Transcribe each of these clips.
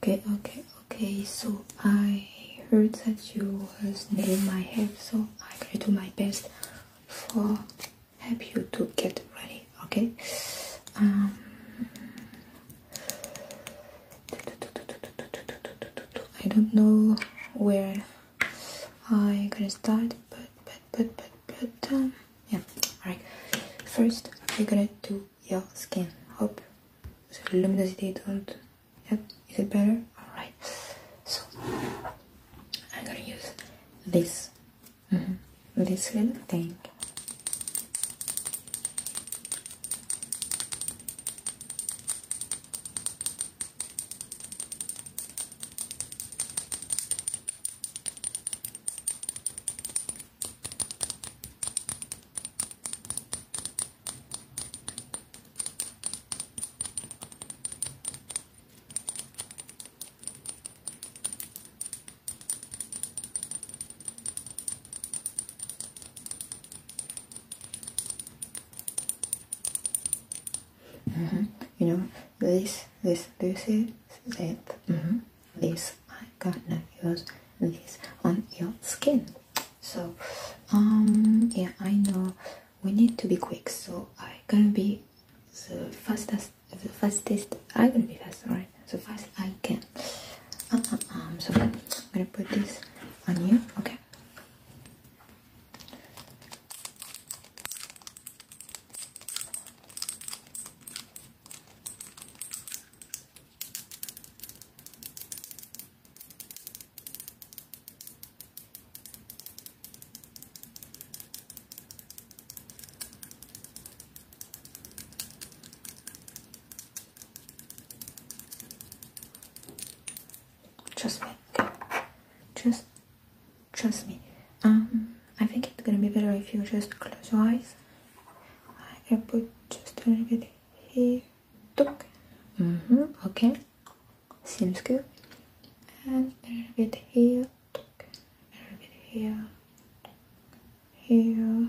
Okay, okay, okay. So I heard that you was near my help, so I going to do my best for help you to get ready. Okay. Um, I don't know where I gonna start, but but but but but um, yeah alright 1st i am going gonna do your skin hope luminosity don't yeah is it better alright so I'm gonna use this mm-hmm. this little thing Mm -hmm. You know, this, this, this is it. Mm-hmm. This I'm gonna use this on your skin. So, um, yeah, I know we need to be quick. So I'm gonna be the fastest, the fastest. I'm gonna be fast, right? So fast I can. um, um, um so I'm gonna put this on you. Okay just make just Trust me. Um, I think it's gonna be better if you just close your eyes. I can put just a little bit here. Took. Mm-hmm. Okay. Seems good. And a little bit here. Took. A little bit here. Here.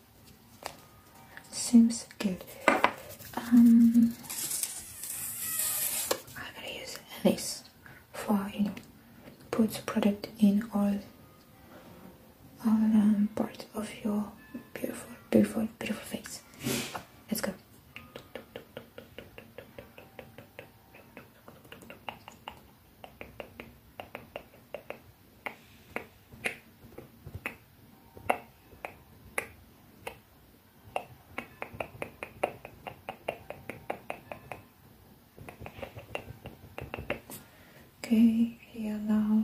Seems good. Um, I'm gonna use this for you know, put product in all all um, of your beautiful, beautiful, beautiful face. Let's go. Okay, here now.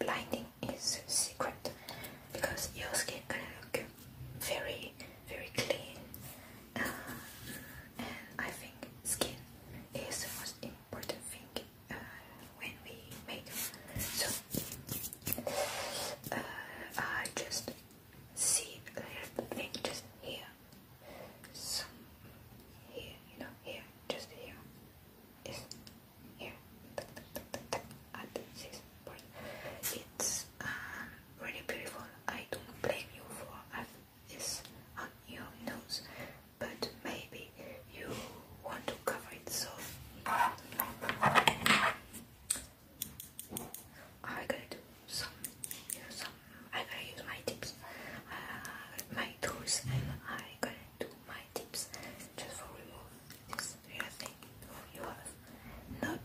Blinding is secret because your skin can look very, very clean and I think skin is the most important thing uh, when we make so uh, I just see just here some here you know here just here is here at this part it's um, really beautiful I don't blame you for is on your nose, but maybe you want to cover it so I'm gonna do some, you know, some. I'm gonna use my tips, uh, my tools, and I'm gonna do my tips just for remove this real thing from your not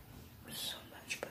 so much, but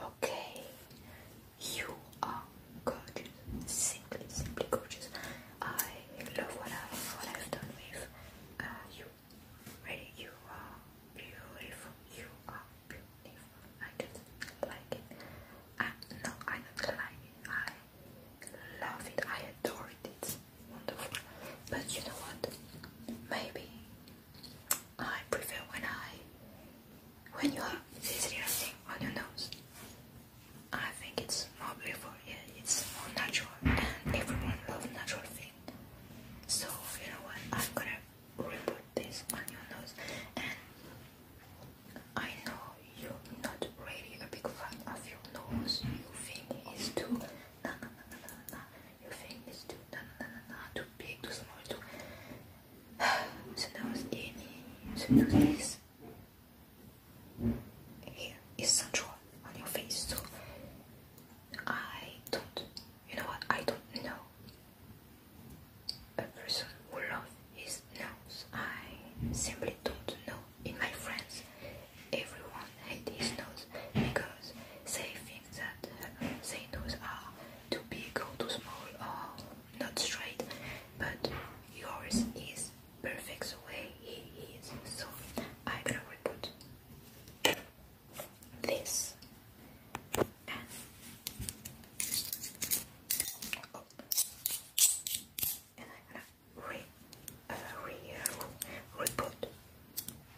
Okay, you are gorgeous, simply, simply gorgeous. I love what i what I've done with uh, you. Really, you are beautiful. You are beautiful. I just like it. no, I don't like it. I love it. I adore it wonderful. But you know what? Maybe I prefer when I when you have this little thing on your nose. I think it's more beautiful, yeah, it's more natural and everyone loves natural thing. So you know what? I'm gonna remove this on your nose and I know you're not really a big fan of your nose. You think it's too na, na, na, na, na, na. Your fingers too, na, na, na, na, too big, too small, too. so now it's any, so now this. Here is central on your face, so I don't, you know what, I don't know a person who loves his nose. I simply don't know in my friends, everyone hates his nose because they think that uh, their nose are too big or too small or not straight, but yours is perfect the way he is, so I will put this am oh, gonna re, uh, re, report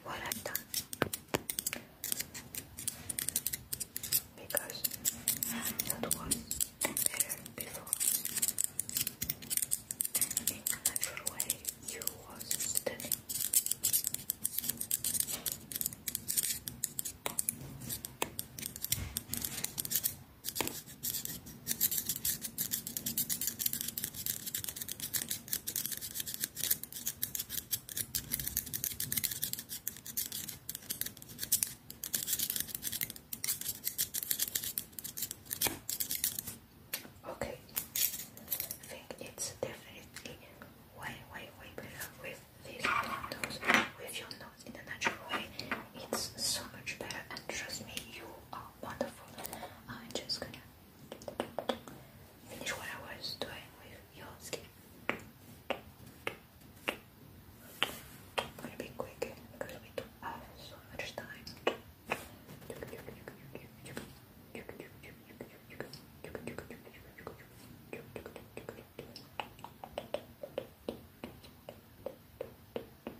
what I've done because that was better before. In a way, you was stunning. Okay, think it's definitely way, way, way better with these candles, with your nose in a natural way. It's so much better, and trust me, you are wonderful. I'm just gonna finish what I was doing with your skin. gonna be quick because we don't have so much time.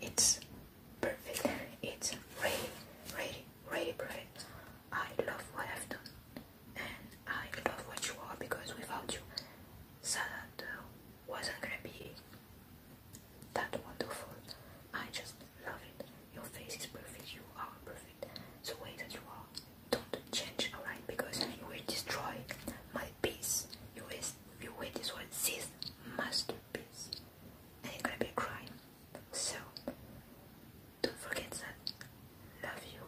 It's perfect. It's really, really, really perfect. I love what I've done, and I love what you are because without you, salad uh, wasn't gonna be that wonderful. I just love it. Your face is perfect. You are perfect. The way that you are, don't change, alright? Because you will destroy my peace. You will, you will destroy this masterpiece and it's gonna be a So don't forget that love you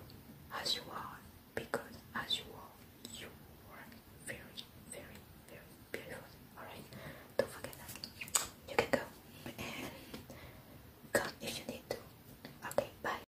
as you are because as you are you are very very very beautiful. Alright? Don't forget that. You can go and come if you need to. Okay, bye.